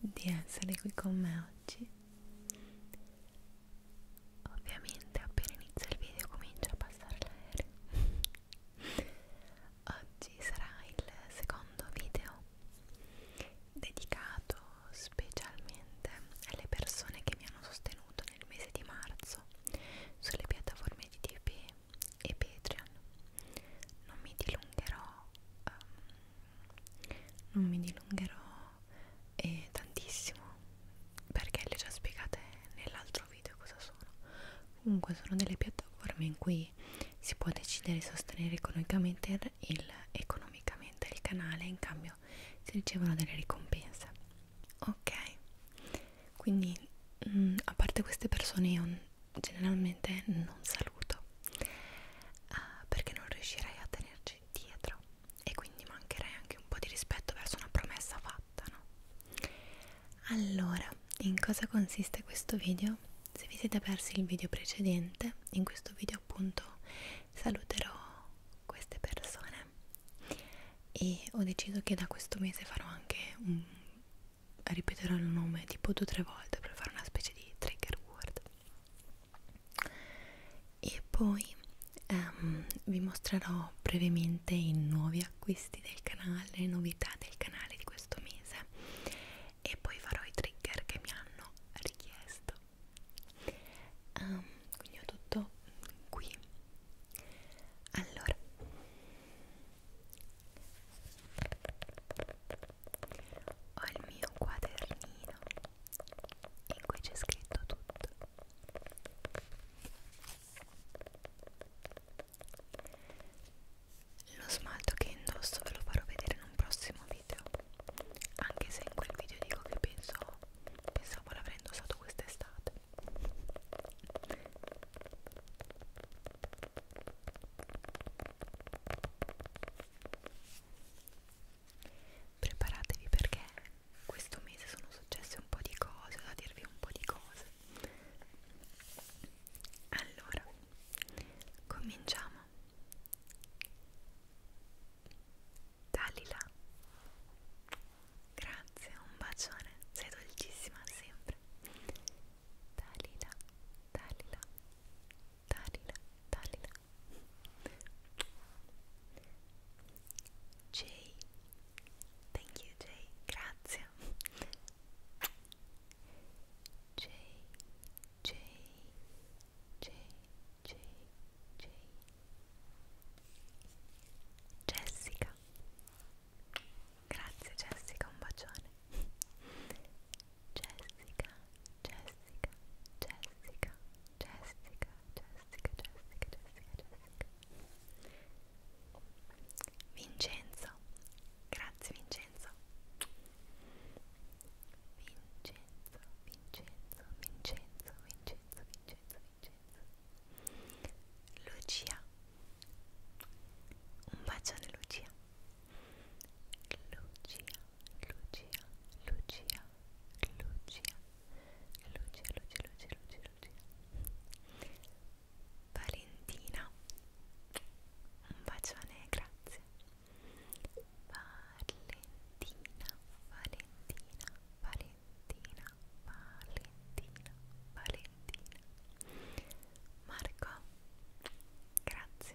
di essere qui con me oggi ovviamente appena inizia il video comincia a passare l'aereo oggi sarà il secondo video dedicato specialmente alle persone che mi hanno sostenuto nel mese di marzo sulle piattaforme di TP e Patreon non mi dilungherò um, non mi dilungherò eh, tantissimo perché le ho già spiegate nell'altro video cosa sono comunque sono delle piattaforme in cui si può decidere di sostenere economicamente il, economicamente il canale in cambio si ricevono delle ricompense ok quindi mh, mm, a parte queste persone io generalmente non saluto uh, perché non riuscirai a tenerci dietro e quindi mancherai anche un po' di rispetto verso una promessa fatta, no? Allora, in cosa consiste questo video? Se vi siete persi il video precedente, in questo video appunto saluterò queste persone e ho deciso che da questo mese farò anche un ripeterò il nome tipo due o tre volte per fare una specie di trigger word e poi um, vi mostrerò brevemente i nuovi acquisti del canale, le novità del canale di questo mese e poi farò i trigger che mi hanno richiesto um, quindi ho tutto qui allora ho il mio quadernino in cui c'è scritto tutto. Lo smalto che indosso ve lo farò vedere in un prossimo video, anche se in quel video dico che penso, pensavo l'avrei indossato quest'estate. Preparatevi perché questo mese sono successe un po' di cose, da dirvi un po' di cose. Allora, cominciamo. Dalila. Grazie, un bacione, sei dolcissima sempre. Dalila, Dalila, Dalila, Dalila. Jay, thank you Jay, grazie. Jay, Jay, Jay, Jay, Jay. Jessica, grazie Jessica, un bacione. Jessica, Jessica, Jessica, Jessica, Jessica, Jessica, Jessica, Jessica. Vincenzo, grazie Vincenzo. Vincenzo, Vincenzo, Vincenzo, Vincenzo, Vincenzo, Vincenzo. Lucia. Un bacione Lucia. Lucia, Lucia, Lucia, Lucia, Lucia, Lucia, Lucia, Lucia, Lucia. Valentina, un bacione, grazie. Valentina, Valentina, Valentina, Valentina, Valentina. Marco, grazie.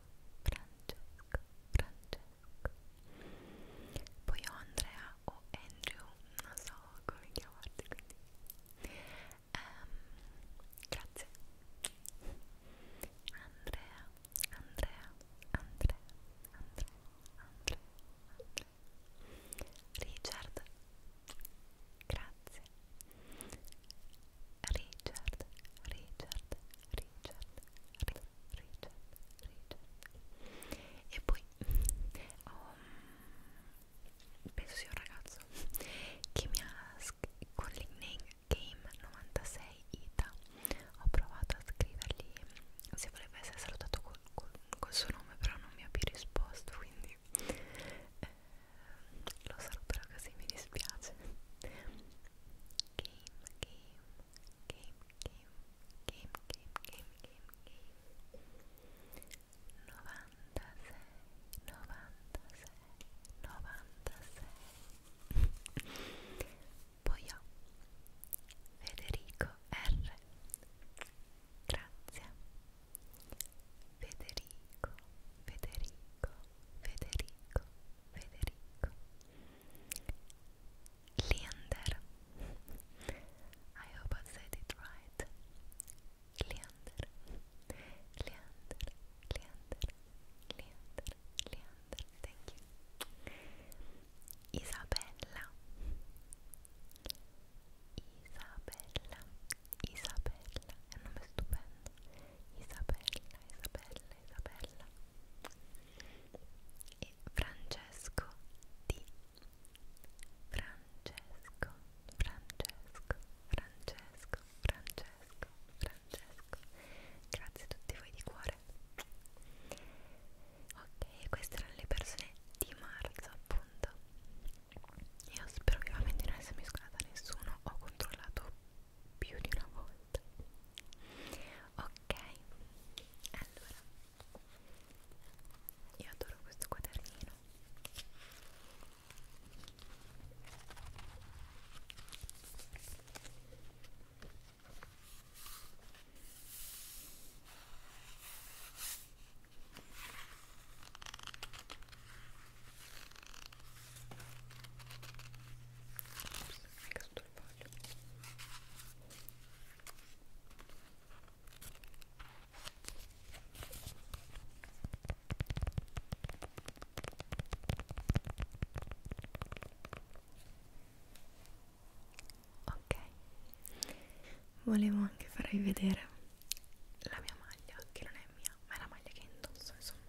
Francesco, Francesco. Poi ho Andrea o Andrew, non so come chiamarti quindi. Um, grazie. Andrea, Andrea, Andrea, Andrea, Andrea, Andrea. Richard. Grazie. Richard, Richard, Richard, Richard, Richard, Richard. E poi oh, penso sia un ragazzo che mi ha con Game 96 Ita ho provato a scrivergli se voleva essere salutato col, col, col suo nome però non mi ha più risposto quindi eh, lo saluterò così mi dispiace game, game, game, game, game, game, game, game, game. 96, Federico R. Grazie. Federico, Federico, Federico, Federico Leander I hope I said it right Leander, Leander, Leander, Leander, Leander, thank you Isabella Isabella, Isabella, è un nome stupendo Isabella, Isabella, Isabella e Francesco di Francesco, Francesco, Francesco, Francesco, Francesco. Grazie a tutti voi di cuore. Ok, queste erano le persone di marzo, appunto. Io spero vivamente di non essermi scordata nessuno. Ho controllato più di una volta ok allora io adoro questo quadernino mi è caduto il foglio ok volevo anche farvi vedere la mia maglia che non è mia ma è la maglia che indosso insomma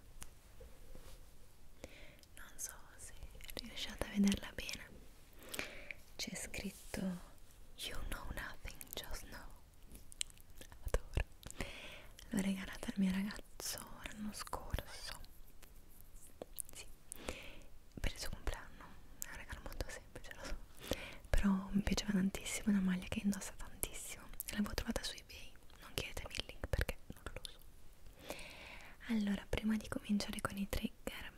non so se riusciate a vederla bene c'è scritto you know nothing just know adoro l'ho regalata al mio ragazzo l'anno scorso sì per il suo compleanno è un regalo molto semplice lo so però mi piaceva tantissimo una maglia che indossa tantissimo l'avevo trovata su ebay non chiedetemi il link perché non lo so allora prima di cominciare con i trigger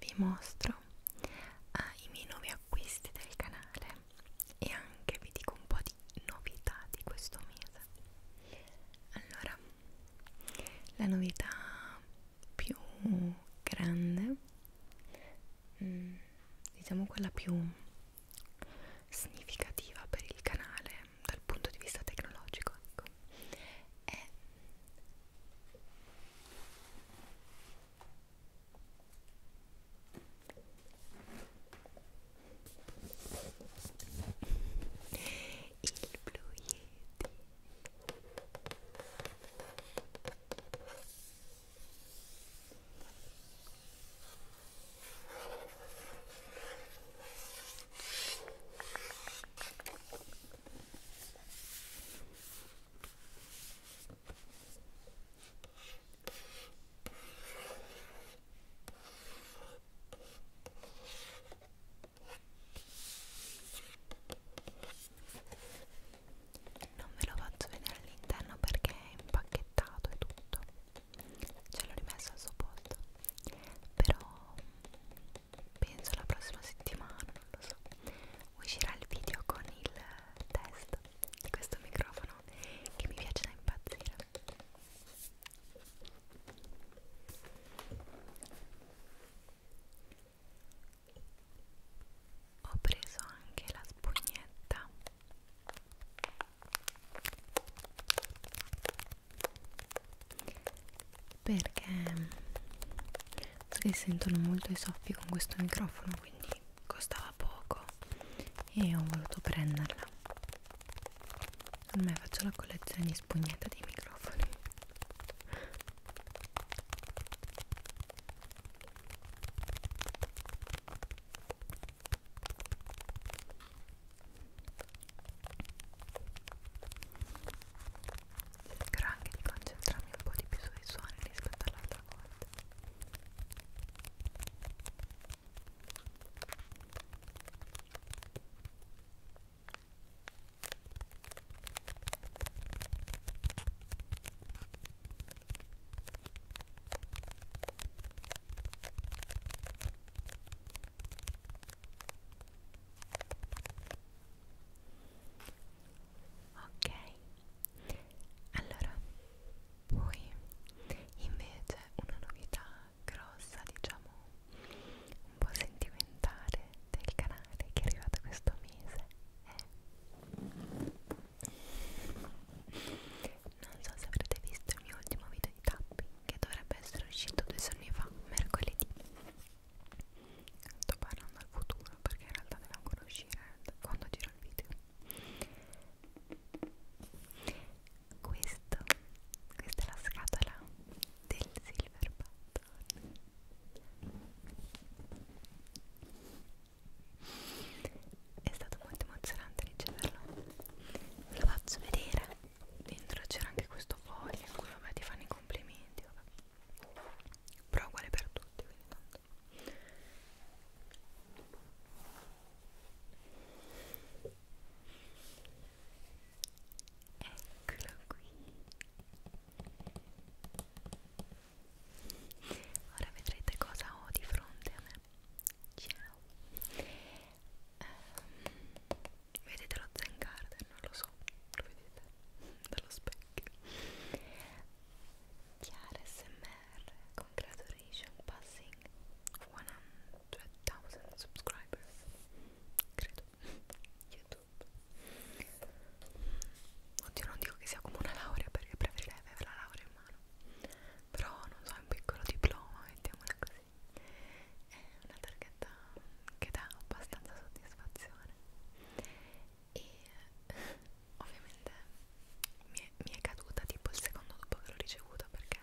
vi mostro uh, i miei nuovi acquisti del canale e anche vi dico un po' di novità di questo mese allora la novità più grande mm, diciamo quella più significativa per il canale dal punto di vista tecnologico ecco, è eh, il Blue Yeti non ve lo faccio vedere all'interno perché è impacchettato e tutto. Ce l'ho rimesso al suo posto però penso la prossima settimana, non lo so, uscirà il video con il test di questo microfono che mi piace da impazzire. Ho preso anche la spugnetta perché si sentono molto i soffi con questo microfono quindi costava poco e ho voluto prenderla ormai faccio la collezione spugnata di microfoni Cercherò anche di concentrarmi un po' di più sui suoni rispetto all'altra volta. Ora ok allora poi invece una novità grossa diciamo un po' sentimentale del canale che è arrivata questo mese è non so se avrete visto il mio ultimo video di tapping che dovrebbe essere uscito due giorni fa, mercoledì. Sto parlando al futuro perché in realtà deve ancora uscire quando giro il video. Questo, questa è la scatola del silver button. È stato molto emozionante riceverlo. Ve lo faccio vedere dentro c'era anche questo foglio in cui vabbè ti fanno i complimenti vabbè. però uguale per tutti quindi tanto eccolo qui ora vedrete cosa ho di fronte a me ciao ehm, vedete lo Zen Garden? non lo so, lo vedete dallo specchio Chiara SMR congratulations passing 100.000 subscribers credo YouTube oddio non dico che sia come una laurea perché preferirei avere la laurea in mano però non so un piccolo diploma mettiamola così è una targhetta che dà abbastanza soddisfazione e eh, ovviamente mi è, mi è caduta tipo il secondo dopo che l'ho ricevuta perché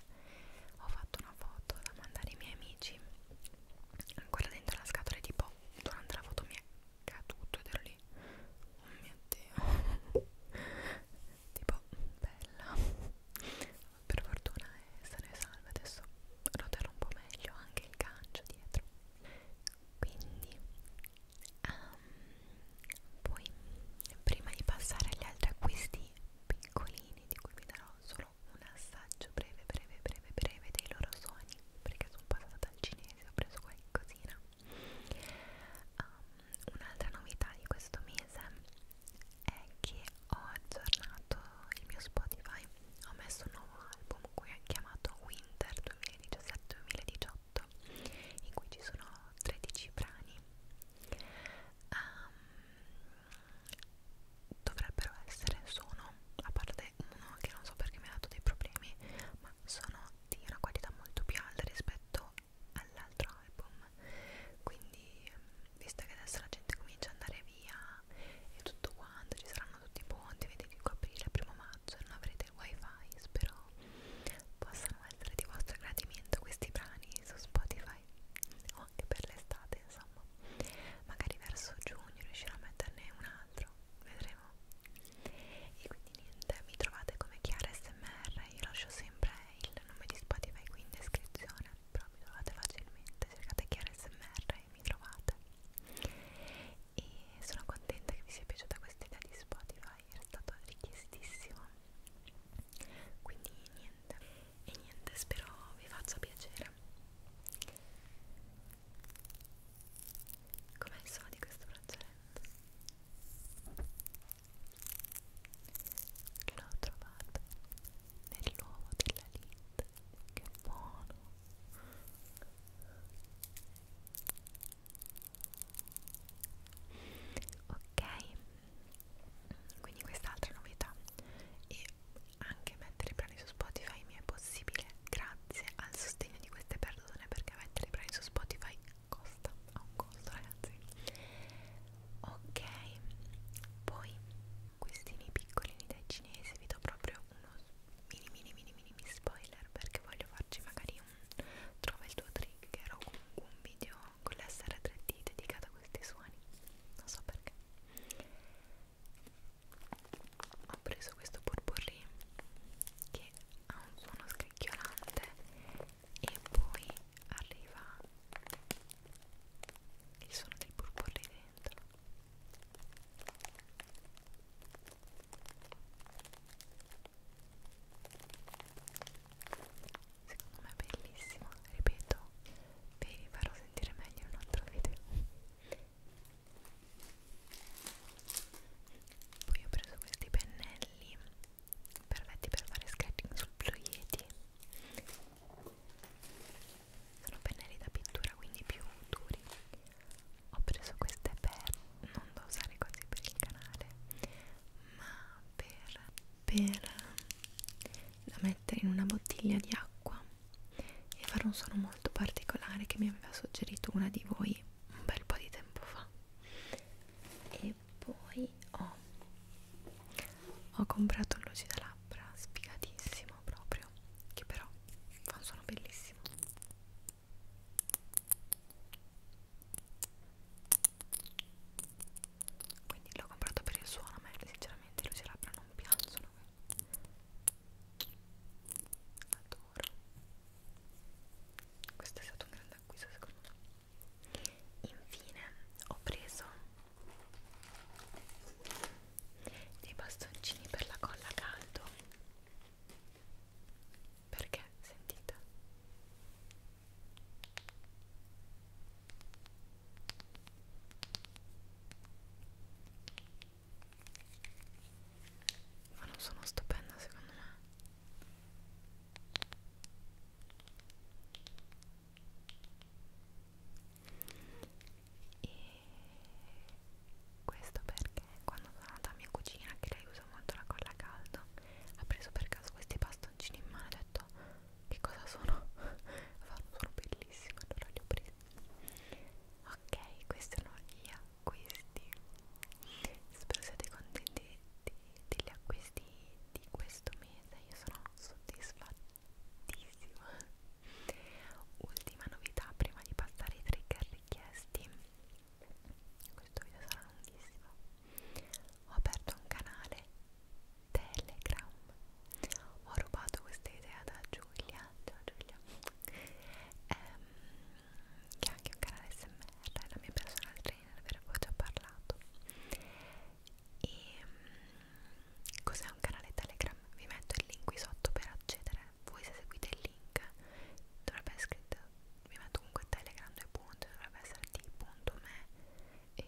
ho fatto una foto da mandare ai miei amici ancora dentro la scatola e tipo durante la foto mi è caduto ed ero lì oh mio dio tipo bella per fortuna è sana e salva, adesso roterò un po' meglio anche il gancio dietro quindi um, poi prima di passare agli altri acquisti piccolini di cui vi darò solo un assaggio breve breve breve breve dei loro sogni perché sono passata dal cinese ho preso qualcosina um, un'altra novità di questo mese è che ho aggiornato il mio Spotify, ho messo un nuovo album qui chiamato Winter 2017-2018 in cui ci sono 13 brani um, dovrebbero essere, sono, a parte uno che non so perché mi ha dato dei problemi ma sono di una qualità molto più alta rispetto all'altro album quindi ehm, visto che adesso la gente comincia ad andare via e tutto quanto, ci saranno tutti i ponti, vedete 5 aprile, primo maggio, non avrete il wifi, spero possano essere di vostro gradimento questi brani su Spotify o oh, anche per l'estate insomma, magari verso giugno riuscirò a metterne un altro, vedremo e quindi niente, mi trovate come Chiara SMR, io lascio sempre il nome di Spotify qui in descrizione però mi trovate facilmente, cercate Chiara SMR mi trovate e sono contenta che vi sia piaciuta questa idea di Spotify era stato richiestissimo quindi niente e niente spero vi faccia piacere com'è il suono di questo braccialetto? l'ho trovato nell'uovo della Lind che buono ok quindi quest'altra novità e anche mettere brani su Spotify mi è possibile grazie al sostegno di queste persone perché mettere brani su Spotify costa ha un costo ragazzi ok poi acquistini piccolini dai cinesi vi do proprio uno mini mini mini mini, mini spoiler perché voglio farci magari un trova il tuo trigger o comunque un video con la SR3D dedicato a questi suoni non so perché ho preso questo purpurri che ha un suono scricchiolante e poi arriva il suono del purpurri dentro Secondo me è bellissimo, ripeto, vi farò sentire meglio in un altro video. Poi ho preso questi pennelli perfetti per fare sketching sul blu yeti sono pennelli da pittura quindi più duri ho preso queste per non da usare così per il canale ma per, per da mettere in una bottiglia di acqua e fare un suono molto particolare che mi aveva suggerito una di voi un bel po' di tempo fa e poi ho, ho comprato un lucido labbra sfigatissimo proprio che però fa un suono bellissimo quindi l'ho comprato per il suono ma sinceramente luci labbra non piacciono adoro questo è stato un grande acquisto secondo me infine ho preso dei bastoncini per la colla a caldo perché sentite ma non sono stupenda secondo me e questo perché quando sono andata a mia cucina che lei usa molto la colla a caldo ha preso per caso questi bastoncini in mano e ha detto che cosa sono? sono bellissimi allora li ho presi ok questi sono gli acquisti spero siate contenti degli acquisti di questo mese io sono soddisfatta bellissimo ultima novità prima di passare ai trigger richiesti questo video sarà lunghissimo ho aperto un canale telegram ho rubato questa idea da Giulia ciao Giulia ehm, che è anche un canale smr la mia personal trainer ve ne ho già parlato e ehm, cos'è un canale telegram? vi metto il link qui sotto per accedere voi se seguite il link dovrebbe essere scritto mi metto comunque telegram 2 punti dovrebbe essere t.me e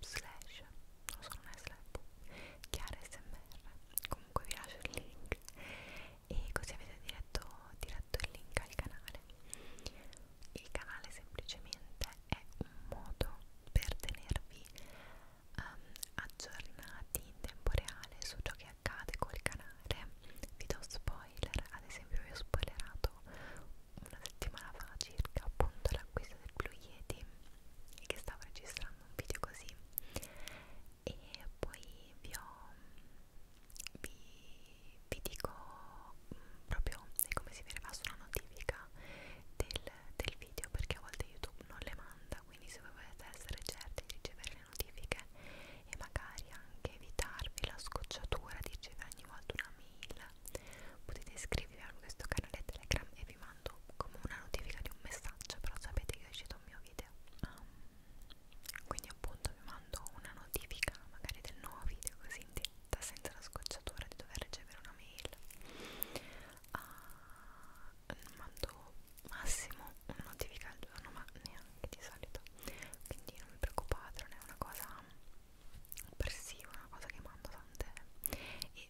slash non so non è slash chiara smr comunque vi lascio il link e così avete diretto, diretto il link al canale il canale semplicemente è un modo per tenervi um, aggiornati in tempo reale su ciò che accade col canale vi do spoiler ad esempio vi ho spoilerato una settimana fa circa appunto l'acquisto del Blue Yeti che stavo registrando un video così e poi vi ho vi, vi dico mh, mm, proprio come si vedeva sulla notifica del del video perché a volte YouTube non le manda quindi se voi volete essere certi di ricevere le notifiche e magari anche evitarvi la scocciatura di ricevere ogni volta una mail potete iscrivervi a questo canale Telegram e vi mando come una notifica di un messaggio però sapete che è uscito un mio video um, quindi appunto vi mando una notifica magari del nuovo video così in diretta senza la scocciatura di dover ricevere una mail uh, mando massimo una notifica al giorno ma neanche di solito quindi non vi preoccupate non è una cosa persiva una cosa che mando tante e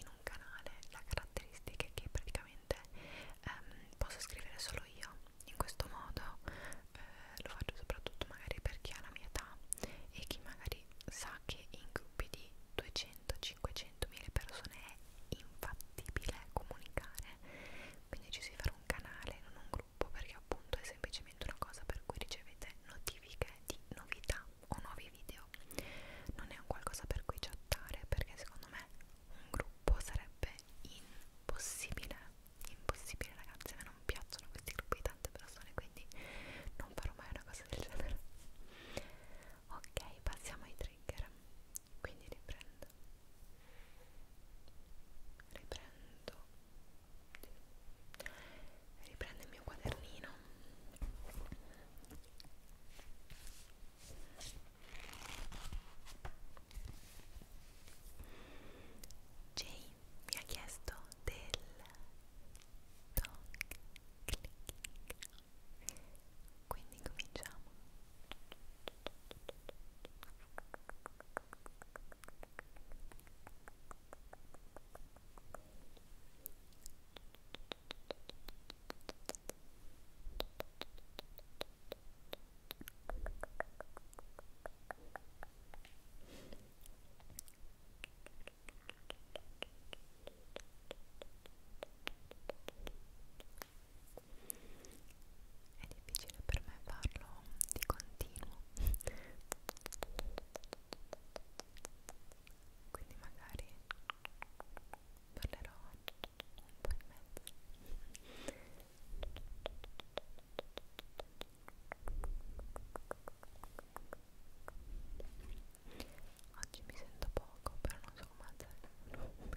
in un canale la caratteristica è che praticamente ehm, posso scrivere solo io in questo modo eh, lo faccio soprattutto magari per chi ha la mia età e chi magari sa che in gruppi di 200-500 mila persone è infattibile comunicare, quindi ci si farà un canale, non un gruppo, perché appunto è semplicemente una cosa per cui ricevete notifiche di novità o nuovi video. Non è un qualcosa per cui chattare, perché secondo me un gruppo sarebbe impossibile, impossibile ragazzi, a me non piacciono questi gruppi di tante persone, quindi non farò mai una cosa del genere. Ok, passiamo ai trigger quindi riprendo riprendo riprendo il mio quadernino Jay mi ha chiesto del dog clicking quindi cominciamo è difficile per me farlo di continuo quindi magari parlerò un po' in mezzo oggi mi sento poco però non so come alzare il volume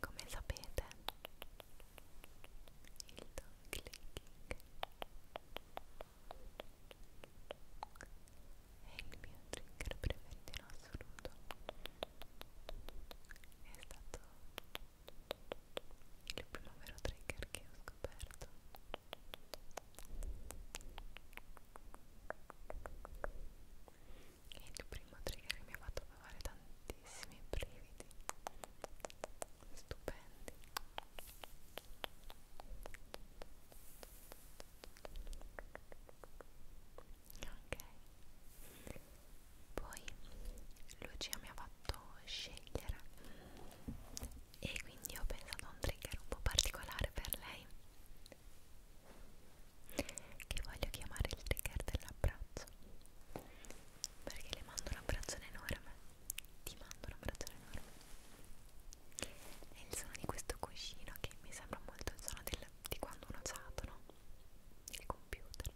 Come sapete, il dog clicking è il mio trigger preferito in assoluto è stato il primo vero trigger che ho scoperto e il primo trigger che mi ha fatto provare tantissimi brividi stupendi ok poi Lucia mi ha fatto scegliere e quindi ho pensato a un trigger un po' particolare per lei che voglio chiamare il trigger dell'abbraccio perché le mando un abbraccione enorme ti mando un abbraccio enorme è il suono di questo cuscino che mi sembra molto il suono del, di quando uno chato, no? il computer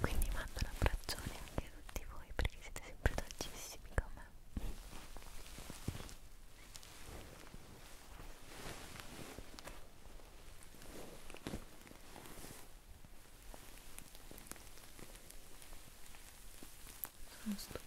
quindi mando un abbraccione anche a tutti voi perché siete sempre dolcissimi con me sono stupendo Grazie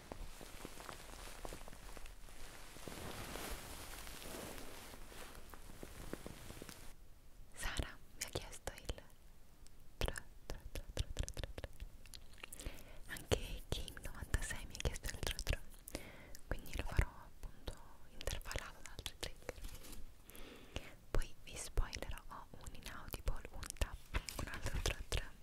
Sara mi ha chiesto il 3, 3, 3, 3, 3, 3, 3. Anche Kim96 mi ha chiesto il 3, 3 quindi lo farò appunto intervallato da altri trigger poi vi spoilerò ho un inaudible, un tapping, un altro 3, 3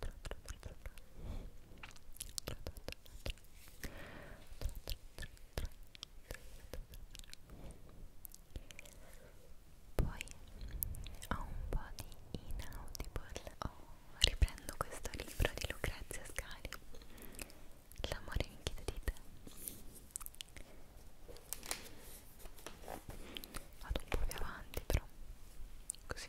Poi ho un po' di inaudible. Oh, riprendo questo libro di Lucrezia Scali. L'amore in chi di te. Vado un po' più avanti però. Così.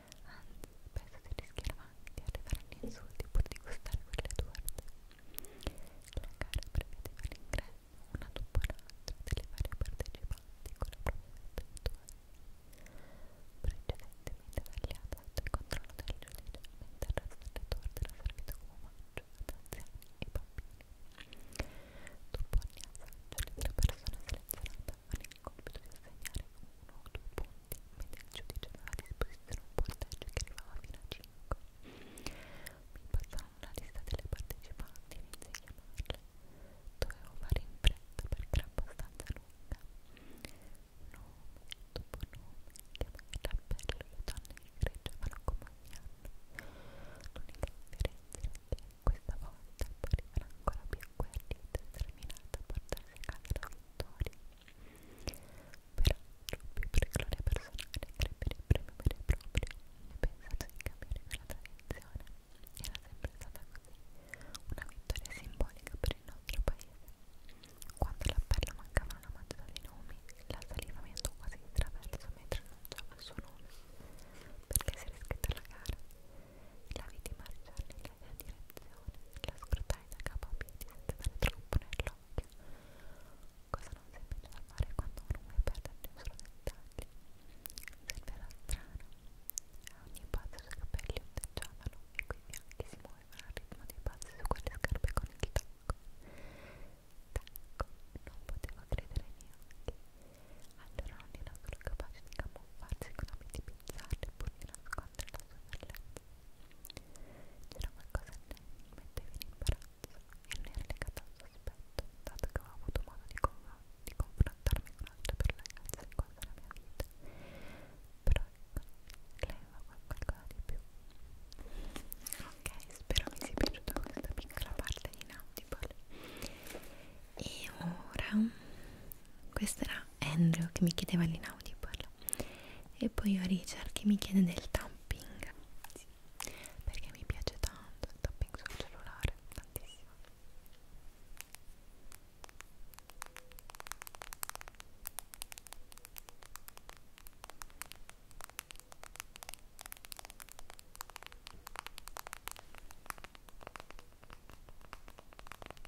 anzi penso si rischierà di arrivare agli insulti pur di gustare quelle torte la gara prevedeva l'ingresso una dopo l'altra delle varie partecipanti con la propria attenzione precedentemente tagliata sotto il controllo del giudice mentre il resto delle torte era servito come omaggio ad anziani e bambini dopo ogni assaggio le tre persone selezionate avevano il compito di assegnare uno o due punti mette il giudice aveva a disposizione un punteggio che arrivava fino a 5. Mi passano una lista delle partecipanti e iniziai a chiamarle. Dovevo fare in fretta perché era abbastanza lunga. Nome dopo nome, chiamai il cappello, le donne che greggiavano come ogni anno. L'unica differenza era che questa volta parevano ancora più agguerrite e determinate a portarsi a casa la vittoria. Però troppi per gloria personale crebbe il premio vero e proprio e pensate di cambiare quella tradizione. Era sempre stata così, una vittoria simbolica per il nostro paese. Quando all'appello mancavano una mazzata di nomi, la saliva mi andò quasi di traverso mentre annunciava il suo nome, perché si era iscritta alla gara. La vidi marciare nella mia direzione, la scrutava stai da capo a piedi senza avere troppo nell'occhio cosa non si impegna da fare quando non vuoi perdere i suoi dettagli sembrava strano a ogni passo i suoi capelli ondeggiavano e quei bianchi si muovevano al ritmo dei passi su quelle scarpe con il tacco tacco, non potevo credere ai miei occhi allora non era solo capace di camuffarsi con abiti bizzarri e pure nascosti incontri la sua bellezza. C'era qualcosa in lei che metteva in imbarazzo e non era legata al sospetto, dato che avevo avuto modo di, con di confrontarmi con altre per la ragazza in quanto la mia vita. Però ecco, lei aveva qualcosa di più. Ok, spero vi sia piaciuta questa piccola parte di Nautible. E ora questo era Andrew che mi chiedeva l'Inaudible e poi ho Richard che mi chiede del tapping sì, perché mi piace tanto il tapping sul cellulare tantissimo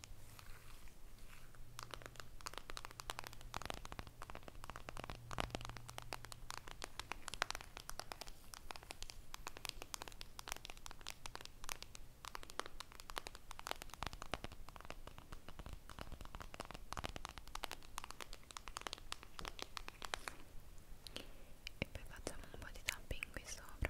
e poi facciamo un po' di tapping qui sopra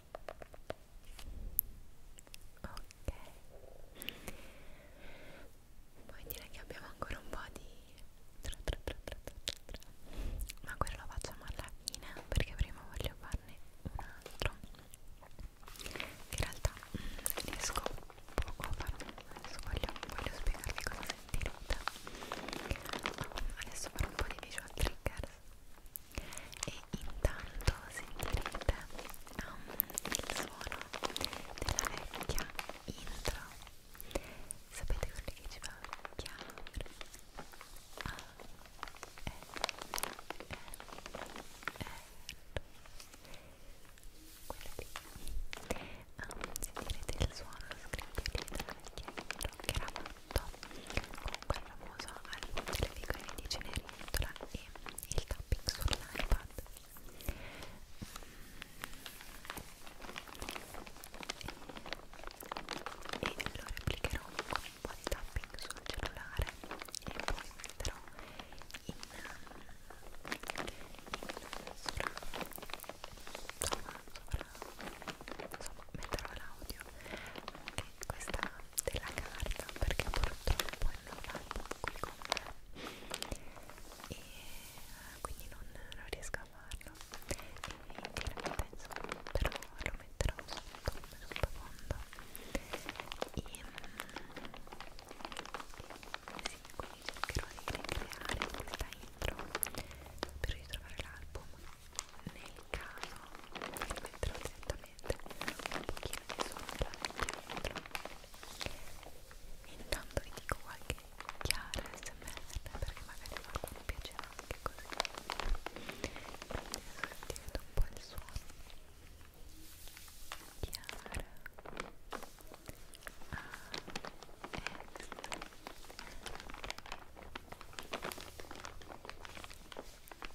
ok poi direi che abbiamo ancora un po' di tra tra tra tra tra tra ma quello lo facciamo alla fine perché prima voglio farne un altro in realtà mh, mm, riesco poco a farlo adesso voglio, voglio spiegarvi cosa sentirete adesso farò un po' di visual triggers e intanto sentirete um, il suono della vecchia intro sapete quelli che ci fa chiamare A E E E sentirete il suono lo scricchiolio della vecchia intro che era fatto comunque è famoso al delle figurine di Cenerentola e il tapping sull'iPad e, e lo replicherò con un po' di tapping sul cellulare e poi metterò in, in sopra insomma sopra insomma metterò l'audio che questa della carta perché purtroppo non va qui con me e eh, quindi non, non riesco a farlo e chiaramente insomma però lo metterò sotto come sottofondo e mm, sì, quindi cercherò di ricreare questa intro per ritrovare l'album nel caso lo metterò direttamente avete un pochino di suono dentro intanto vi dico qualche chiara smr perché magari qualcuno piacerà anche così sentite un po' il suono chiara ASMR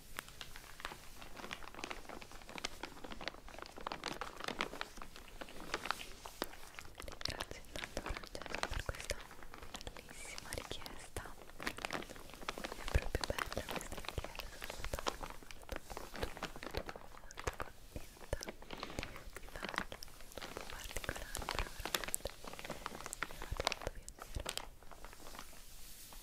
Ringrazio intanto Francesco per questa bellissima richiesta. È proprio bella questa richiesta. Sono molto, molto, molto, molto contenta di fare un particolare programma. Mi ha fatto piacere.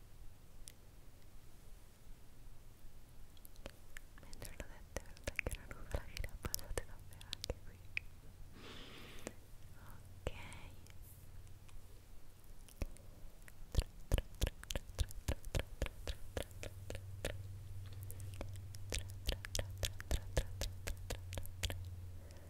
mentre l'ho detto anche la nuvola che ne ha passate davvero anche qui ok ok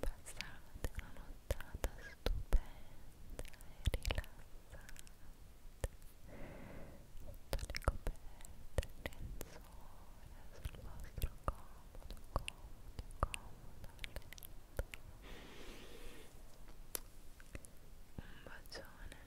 Passate una nottata stupenda e rilassante sotto coperte, il lenzuola sul comodo, comodo, comodo letto un bacione